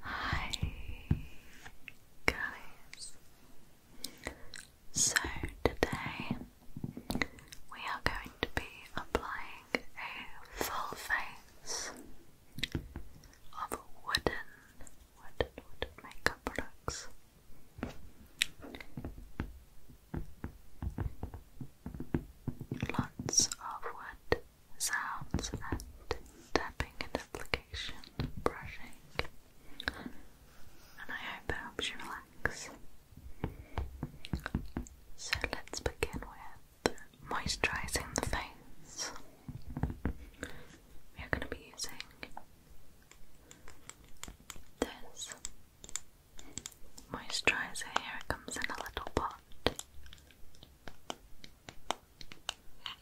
Hi guys. So today we are going to be applying a full face of wooden wooden wooden makeup products. Lots of wood sounds and tapping and application, brushing, and I hope it helps you relax. So let's begin with moisturising the face. We are going to be using this moisturiser. Here it comes in a little pot. So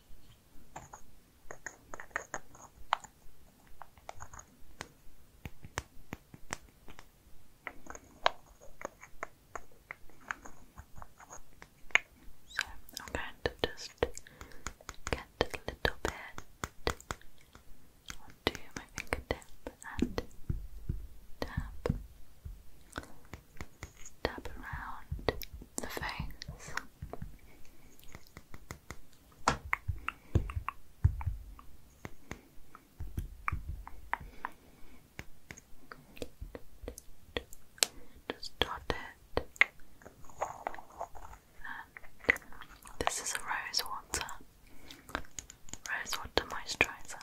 I'm going to just get a little bit onto my fingertip and tap tap around the face. Just dot it. this is a rose water, rose water moisturizer.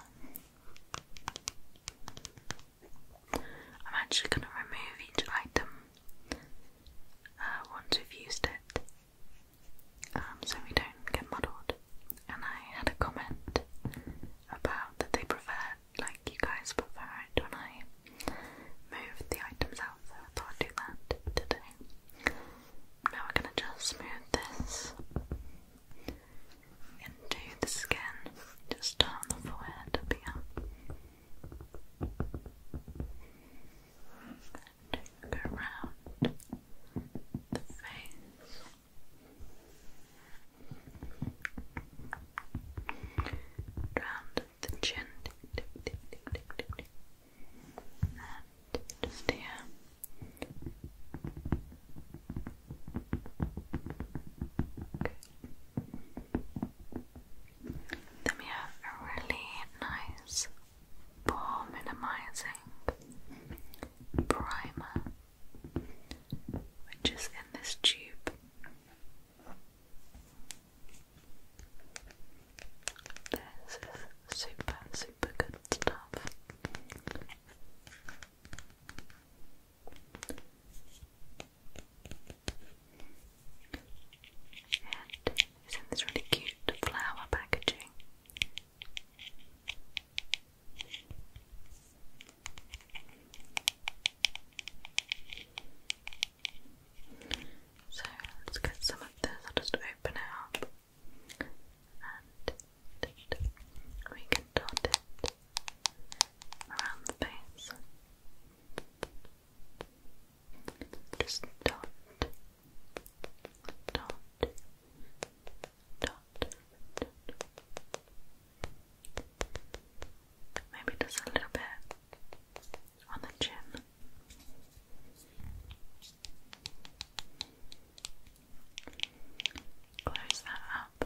I'm actually going to remove each item uh, once we've used it um, so we don't get muddled. And I had a comment about that they prefer, like you guys prefer it when I move the items out, so I thought I'd do that today. Now we're going to just smooth this into the skin, just start on the forehead up here. And go around the face. Round the chin, and just here. Good. Then we have a really nice pore minimizing primer, which is in this tube. This is super, super good stuff. And it's in this really cute flower packaging. So let's get some of this. I'll just open it up and we can dot it around the face. Just dot, dot, dot, dot. Maybe just a little bit on the chin. Close that up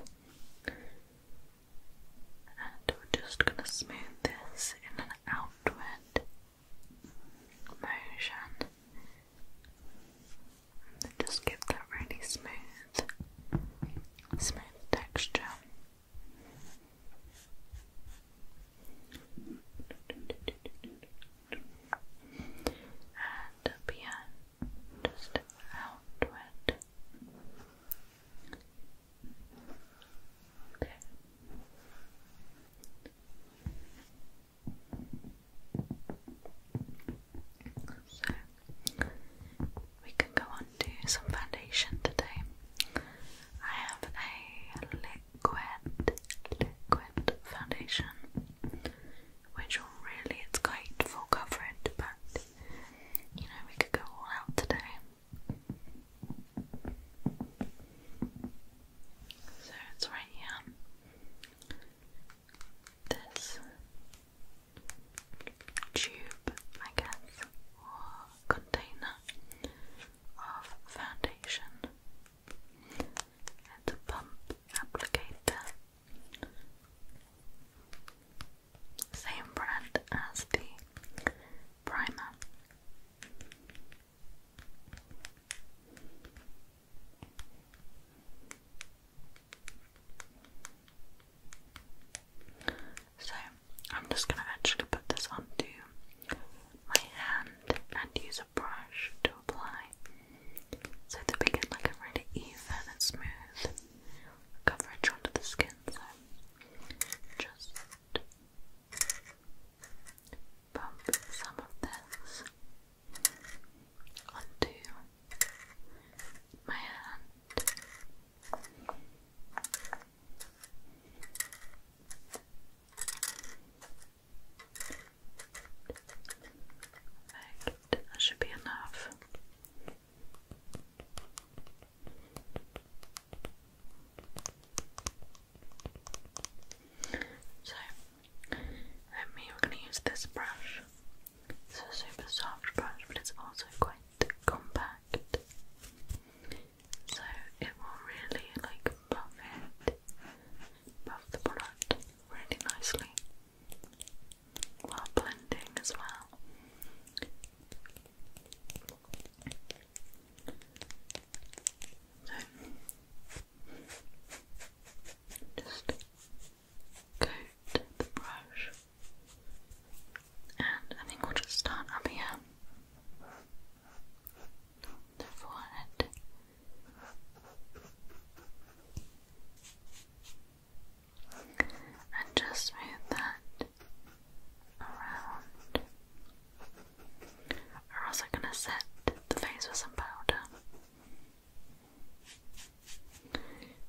and we're just going to smooth this in an outward motion just give that really smooth, smooth texture. And up just outward, so we can go on to some foundation today. I have a liquid liquid foundation which really it's great for coverage but you know, we could go all out today. So it's right here. This tube, I guess, or container of foundation. It's a pump applicator same brand as the primer. So, I'm just going to actually put this onto my hand and use a brush to apply so they begin like a really even and smooth coverage onto the skin, so just bump some of this onto my hand. That should be enough. So, let me, going to use this brush. It's a super soft brush, but it's also quite compact. So, it will really like buff it, buff the product really nicely while blending as well. just coat the brush, and I think we'll just start up here. The forehead and just move that around. We're also going to set the face with some powder.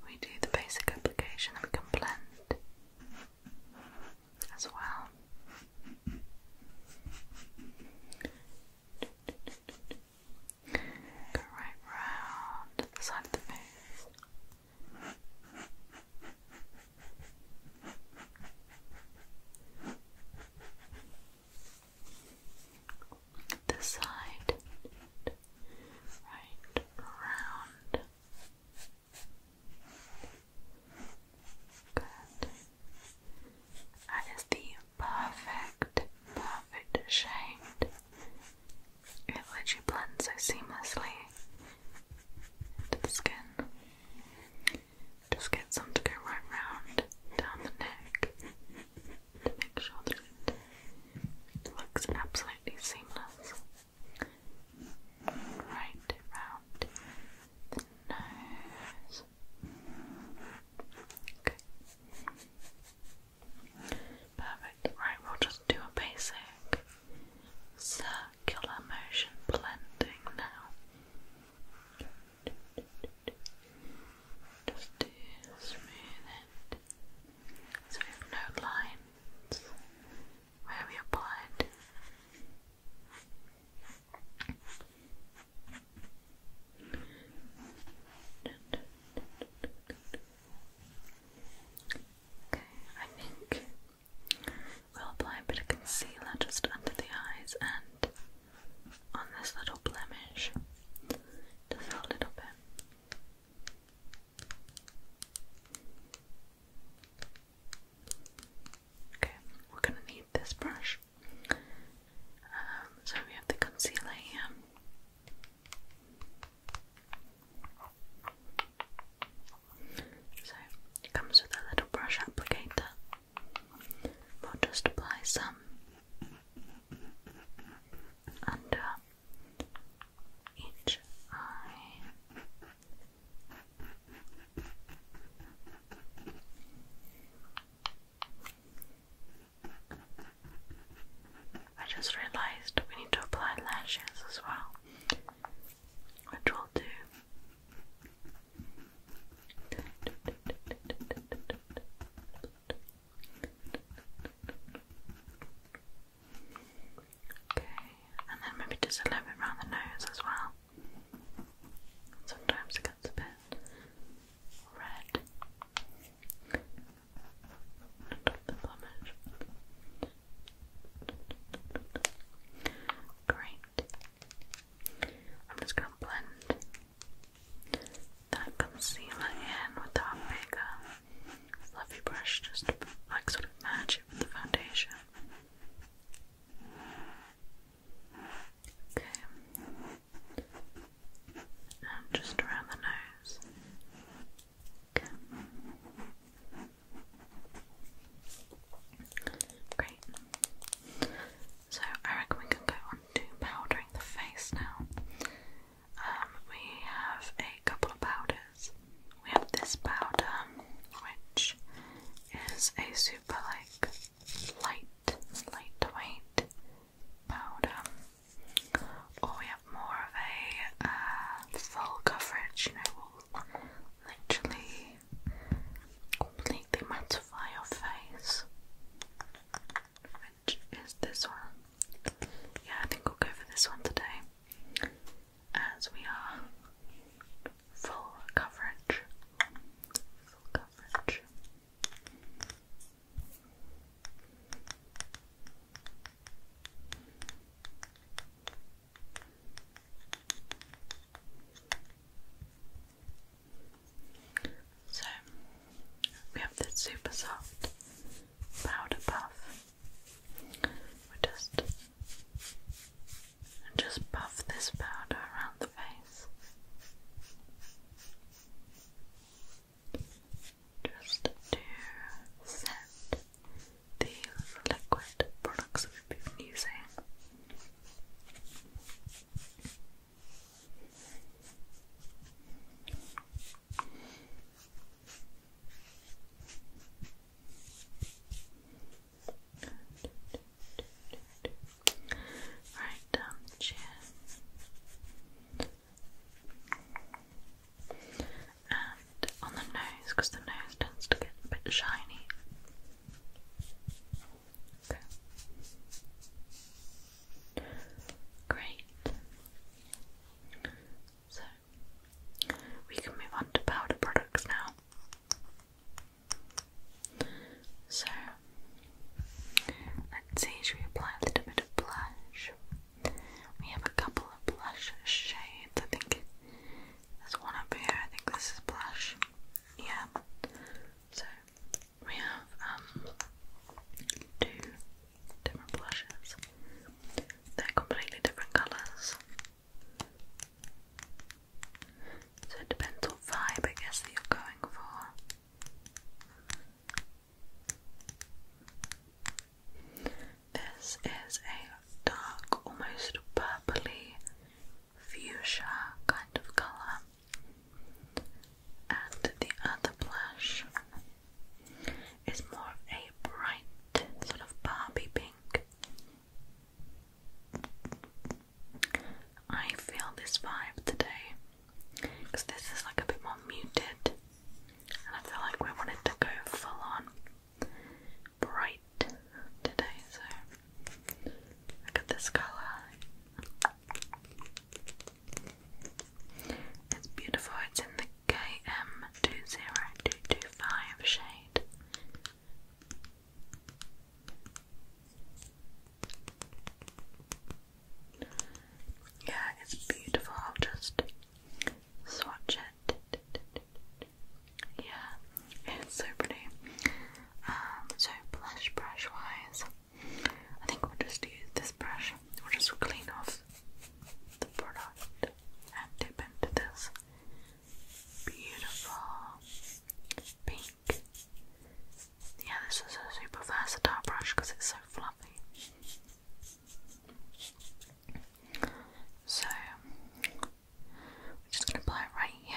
We do the basic application and we can blend as well. Go right round the side of the face. This side, right around. Good. That is the perfect, perfect shade it lets you blend so seamlessly into the skin. Just get some to go right round down the neck to make sure that it looks absolutely seamless. Right round the nose. Okay. Perfect. Right, we'll just do a basic circular motion blending now. Just to smooth it so we have no lines where we applied. Okay, I think we'll apply a bit of concealer just under the eyes and on this little blemish, just a little bit. Okay, we're going to need this brush. Um, so we have the concealer so it comes with a little brush applicator. We'll just apply some under each eye. I just realized we need to apply lashes as well, which we'll do. Okay, and then maybe just a little bit around the nose as well. Sometimes it gets a bit red the plumage. Great. I'm just going to blend that concealer in with our bigger fluffy brush just like sort of match it with the foundation. Okay. And just around the nose. Great. So I reckon we can go on to powdering the face now. Um, we have a couple of powders. We have this powder, which is a super like light, lightweight powder. Or we more of a uh, full coverage, you know, will literally completely mattify your face. Which is this one? Yeah, I think I'll go for this one today, as we are full coverage. Full coverage. So we have this super soft powder puff. We just just puff this powder around the face just to set the liquid products we've been using. Right down the chin and on the nose because the nose tends to get a bit shiny. Okay. Great. So we can move on to powder products now. So let's see, should we apply a little bit of blush? We have a couple of blush shades. I think there's one up here. I think this is blush. Yeah. So we have um, two different blushes. They're completely different colours. So it depends what vibe I guess that you're going for. This is a dark, almost purpley fuchsia kind of colour. And the other blush is more a bright sort of Barbie pink. I feel this vibe today because this is like a bit more muted and I feel like we wanted to go full on bright today, so look at this colour. It's beautiful, it's in the KM20225 shade. Yeah, it's beautiful. I'll just swatch it. Yeah, it's so pretty. Um, so blush brush wise, I think we'll just use this brush. We'll just clean off the product and dip into this beautiful pink. Yeah, this is a super versatile brush because it's so fluffy. So we're just going to apply it right here.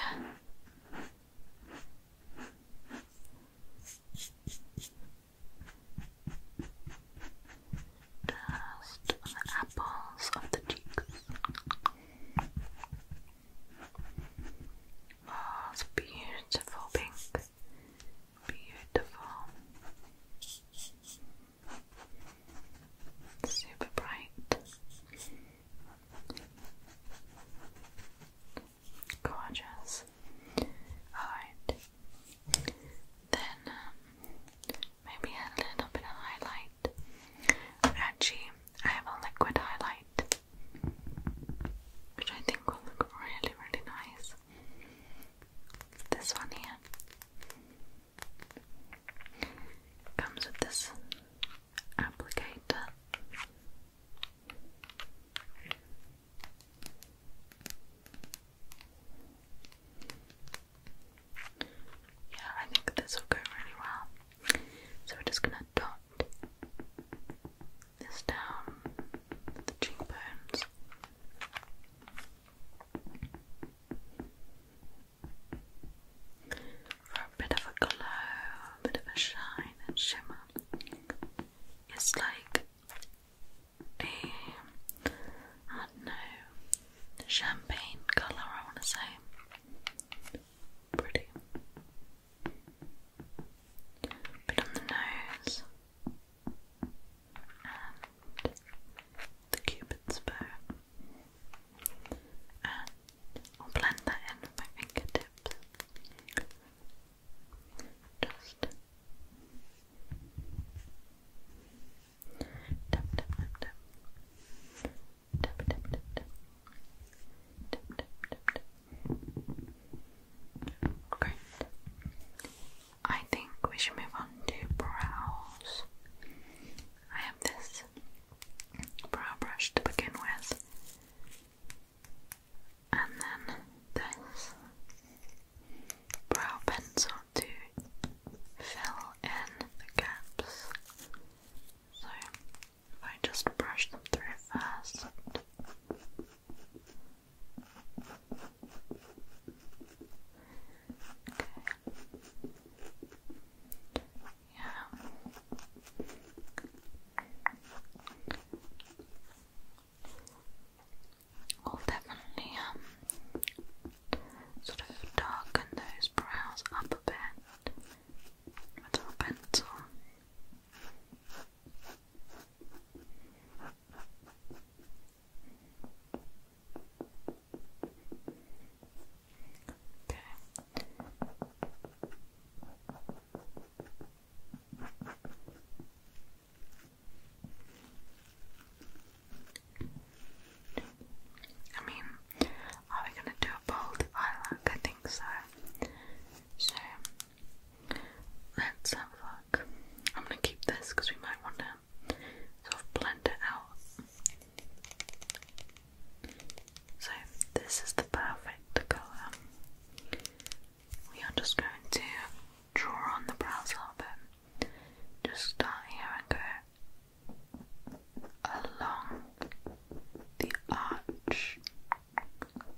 Just apples of the cheeks. Oh, beautiful pink. Beautiful super bright, gorgeous. Alright, then um, maybe a little bit of highlight. Actually, I have a liquid highlight, which I think will look really, really nice. This one here. Comes with this applicator. Yeah, I think this will go really well. So we're just gonna dot this down the cheekbones for a bit of a glow, a bit of a shine and shimmer. It's like a, I don't know, champagne colour, I want to say. Pretty. Bit on the nose and um, the cupid's bow and I'll blend that in with my fingertips just tap, tap, tap, tap tap, tap, tap, tap tap, tap, great I think we should move on to brows. I have this brow brush to begin with, and then this brow pencil to fill in the gaps. So I just brush them through first. Yeah. I'll definitely um sort of darken those brows up a bit with our pencil. Okay. I mean, are we gonna do a bold eye look? I think so. So let's have a look. I'm gonna keep this because we might want to sort of blend it out. So this is the perfect colour. We are just going to draw on the brows a little bit. Just start here and go along the arch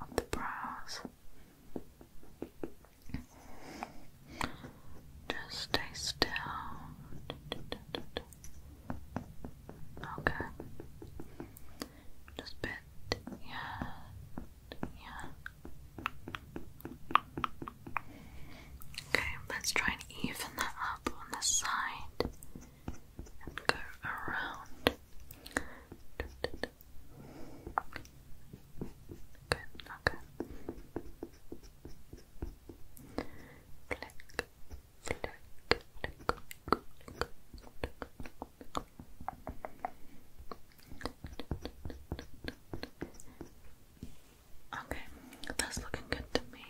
of the brows. Just stay still. Okay. Just bit. Yeah. Yeah. Okay, let's try and even that up on the side and go around. Good, okay. Okay, that's looking good to me.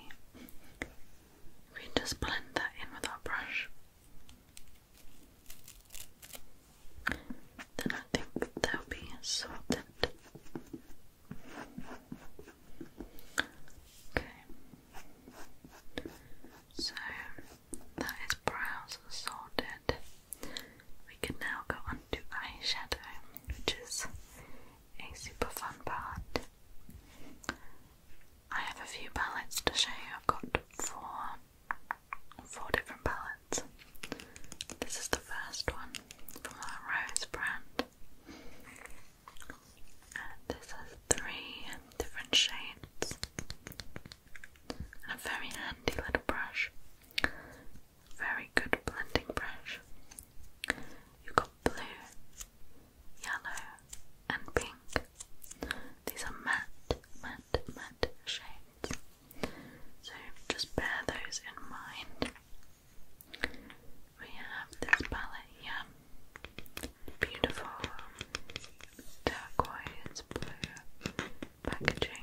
We just blend that in with our brush. Then I think they'll be sorted Okay. So that is brows sorted. We can now go on to eyeshadow, which is a super fun part. I have a few palettes to show you. I've got four, four different palettes. This is the first one from our Rose brand. this has three different shades. And a very handy little brush. Very good blending brush. You've got blue, yellow, and pink. These are matte, matte, matte shades. So just bear those in mind we have this palette here. Beautiful um, turquoise blue packaging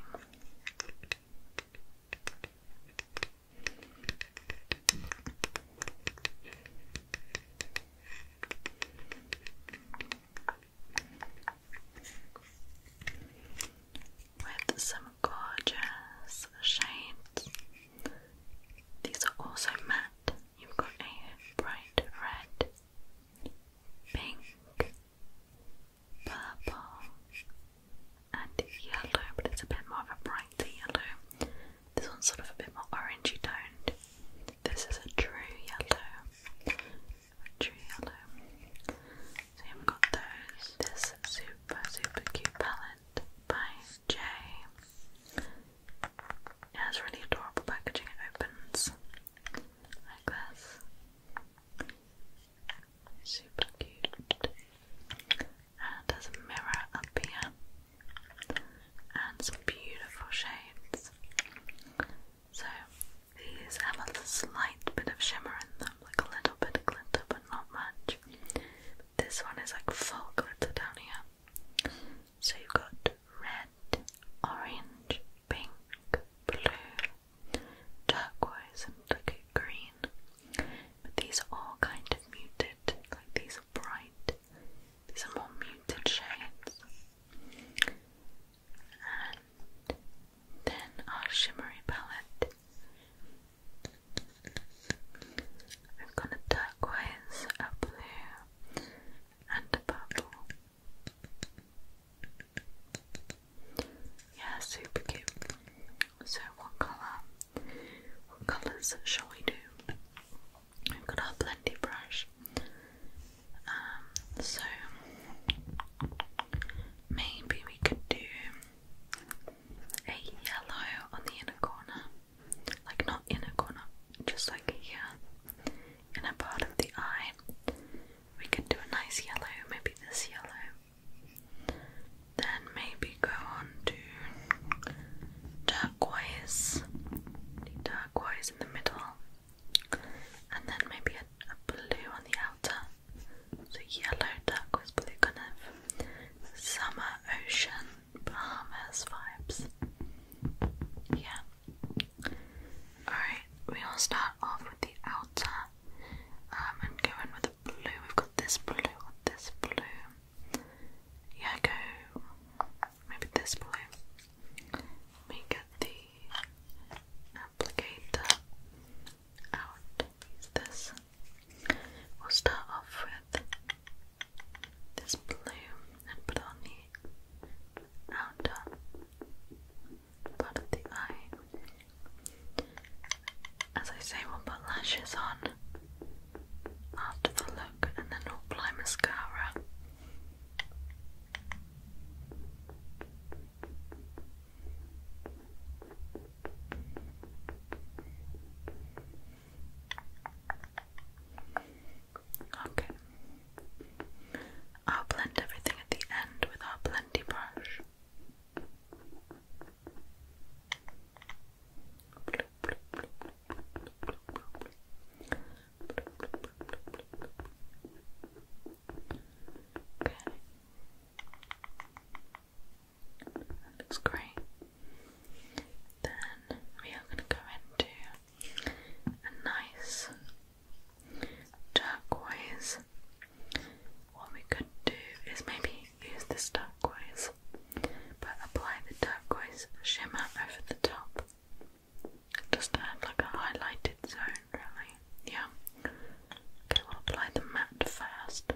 with some gorgeous shades. These are also matte. You've got a bright red, pink, purple, and yellow, but it's a bit more of a brighter yellow. This one's sort of a bit more orangey toned. This is a true yellow. A true yellow. So you've got those. This super, super cute palette by J. It has really adorable packaging. It opens like this. Super cute. And there's a mirror up And some beautiful shades. So these have a slight bit of shimmer in them, like a little bit of glitter, but not much. This one is like full glitter down here. So you've got red, orange, pink, blue, turquoise, and like green. But these are all kind of muted, like these are bright, these are more muted shades. And then our shimmery palette We've got a turquoise, a blue, and a purple. Yeah, super cute. So, what colour? colours shall we do? We've got our blendy brush. Um, so maybe we could do a yellow on the inner corner, like not inner corner, just like here, in a part of the eye. We could do a nice yellow, maybe this yellow. Then maybe go on to turquoise, the in the middle, and then maybe a blue on the outer. So yellow duck was probably kind of summer ocean Bahamas vibes. Yeah. Alright, we will start off with the outer um, and go in with the blue. We've got this blue or this blue. Yeah, go maybe this blue. We get the applicator out is this. We'll start off with this blue and put on the outer part of the eye. As I say, we'll put lashes on after the look and then we'll apply mascara. Okay. I'll blend everything at the end with our blendy brush. Okay. That looks great. Then we are going to go into a nice turquoise. What we could do is maybe use this turquoise, but apply the turquoise shimmer over the top. Just add like a highlighted zone, really. Yeah. Okay, we'll apply the matte first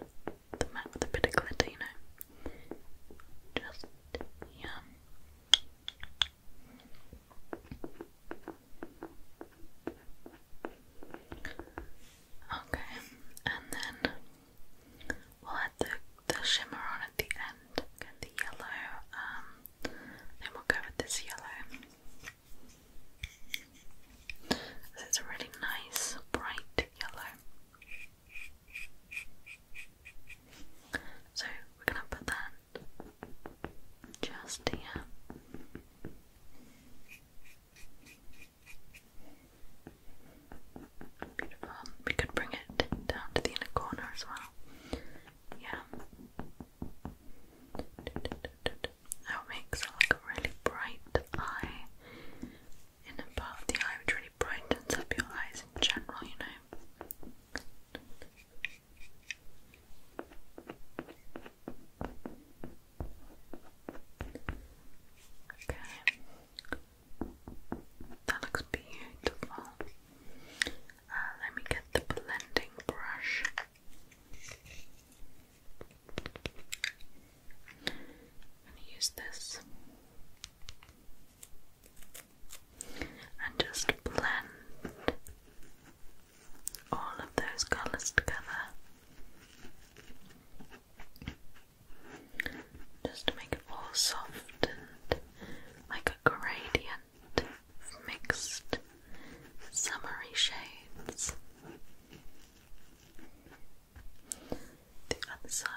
the mat with a bit of glitter, you know. Just yeah. Okay, and then we'll add the, the shimmer on at the end. Get the yellow, um, then we'll go with this yellow. It's a really nice bright yellow. So we're gonna put that just here. Beautiful. We could bring it down to the inner corner as well. Yeah. That makes like a really bright eye. Inner part of the eye which really brightens up your eyes in general, you know. Okay. That looks beautiful. Uh, let me get the blending brush. I'm going to use this and just blend all of those colours together just to make it all soft and like a gradient of mixed summery shades the other side.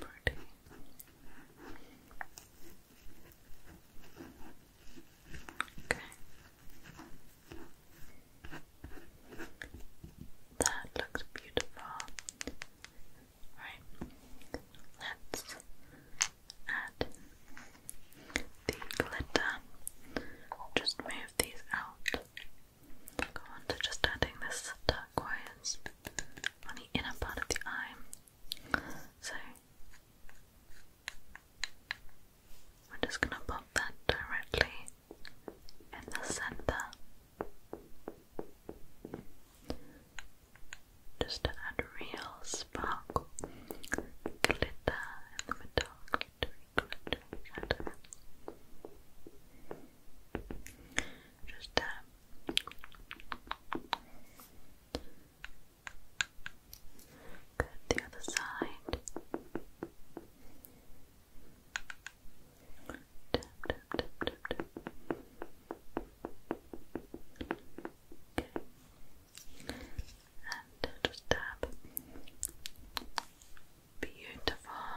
Pretty. Okay. That looks beautiful. Right, let's add the glitter. Just move these out. Go on to just adding this turquoise on the inner part of the eye. So we're just gonna pop that directly in the center just to add real sparkle, glitter in the Just tap. Um, go the other side. Okay. And just tap. Beautiful.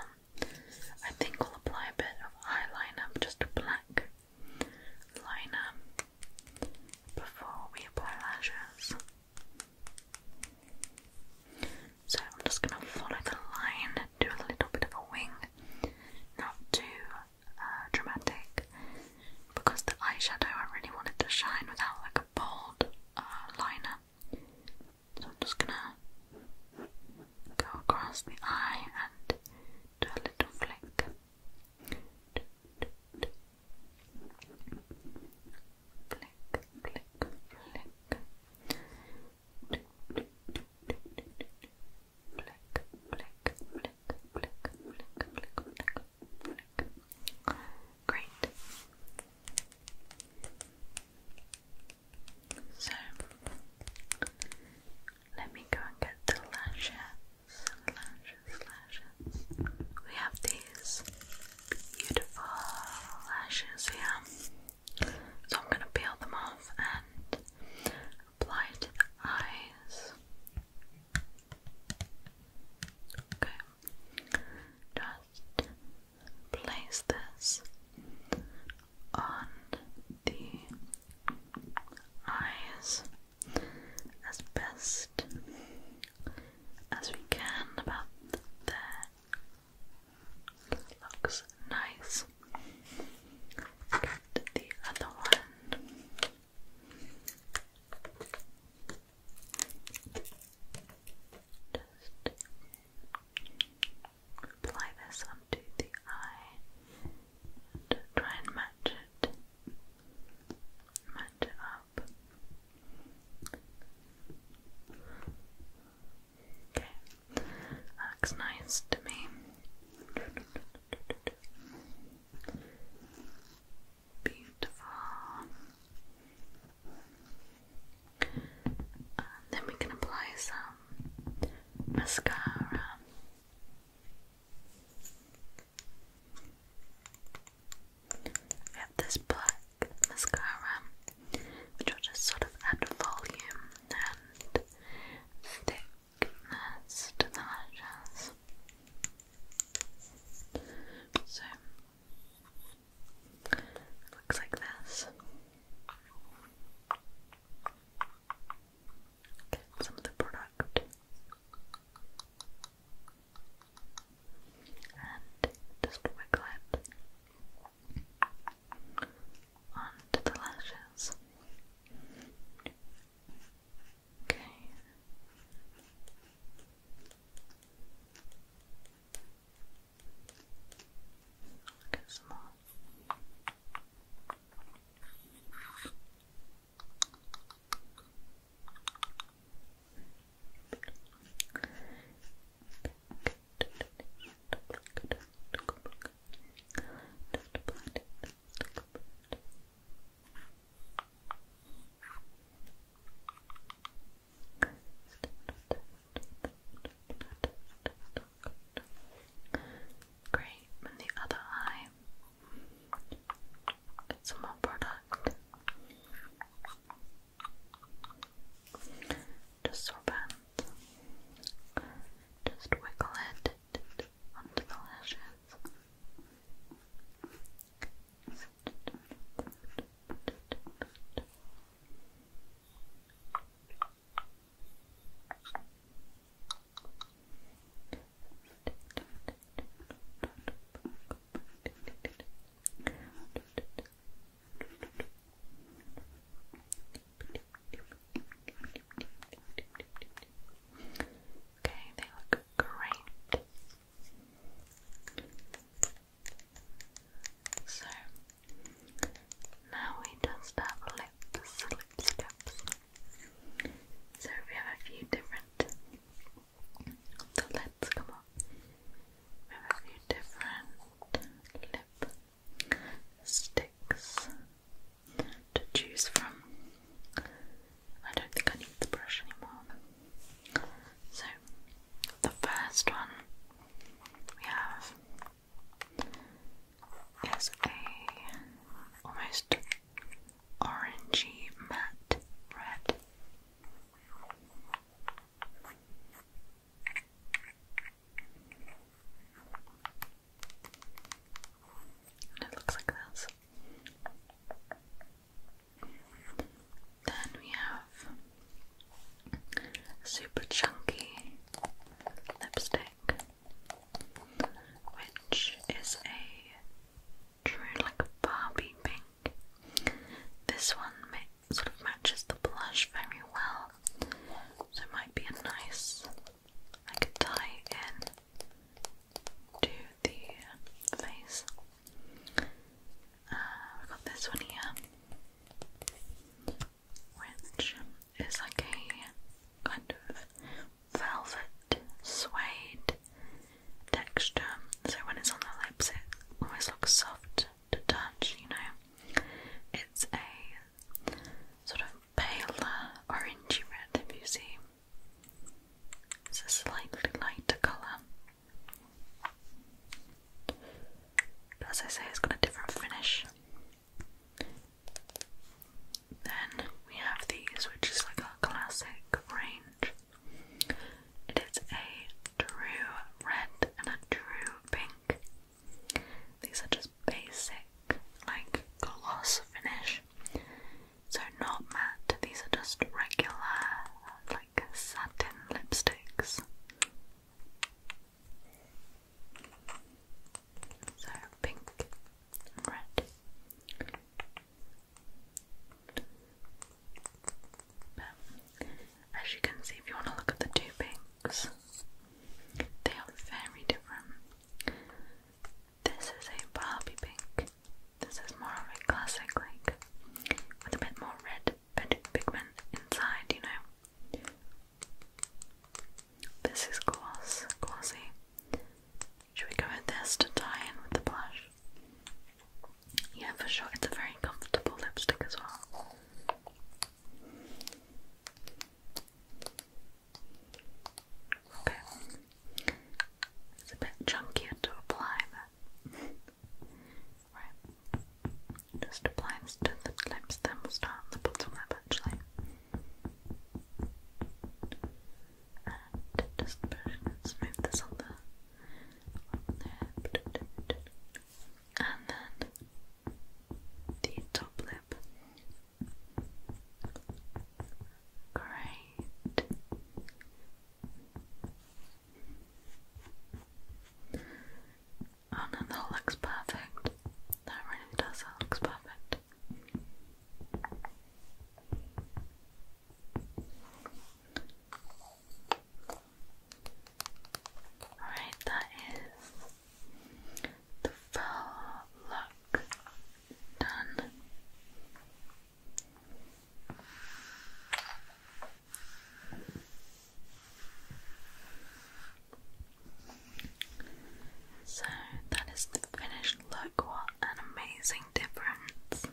I think we'll apply a bit of eyeliner, just a black liner, before we apply lashes. So I'm just going to follow the line, do a little bit of a wing, not too uh, dramatic because the eyeshadow I really wanted to shine without like a bold uh, liner. So I'm just gonna go across the eye and do a little flick. Flick, flick, flick. Click, click, click, click, click, click, click, click. Great. So let me go and get the lashes. We have these beautiful lashes here. So I'm gonna peel them off and apply eyes. Okay, just place this on the eyes as best as we can about there. Looks nice. Get the other one. Just apply this onto the eye and try and match it. Match it up. Okay, looks nice to me. Beautiful. then we can apply some mascara. We this black mascara, which will just sort of add volume and stick goodness to the managers. So it looks like this. Get some of the product and just wiggle it onto the lashes. Okay. Look at some more. Good. Great, and the other eye. Get some product. Just sorbent. Just wiggle it onto the lashes. Okay, they look great. So now we just have lips, So we have a few different the lips come on. We have a few different lip to choose from. I don't think I need the brush anymore. So, the first one we have is a almost orangey matte red it looks like this. Then we have super chunky lipstick, which is a true like Barbie pink. This one sort of matches the blush very well, so it might be a nice I could tie in to the face. we've uh, got this one here, which is like a kind of velvet suede texture. So when it's on the lips, it always looks soft to touch, you know. It's a sort of paler orangey red, if you see. It's a slightly lighter colour. as I say, it's got a different finish. Then we have these, which is like our classic range. It is a true red and a true pink. These are just basic, like, gloss finish. So, not matte, these are just regular, like, satin lipsticks. So, pink red. But as you can see, if you want to look at the two pinks, they are very different. This is a Barbie pink. This is more of a classic, like, with a bit more red pigment inside, you know. This is gloss, glossy. Should we go with this to tie in with the blush? Yeah, for sure. It's a very comfortable lipstick as well. Okay. It's a bit chunkier to apply, right. Just apply to the lips, then we start on the bottom lip actually. And just push and smooth this on the And then the top lip. Great. Oh no, that looks perfect. That really does, that looks perfect. Alright, that is the far luck done. So that is the finished look. What an amazing difference!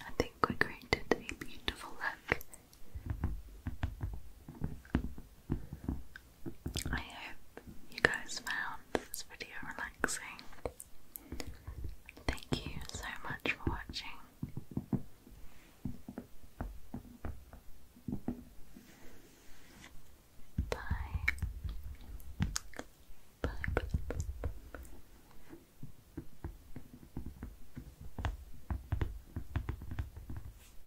I think we created a beautiful look. I hope you guys found this video relaxing. Thank you so much for watching. Bye. Bye.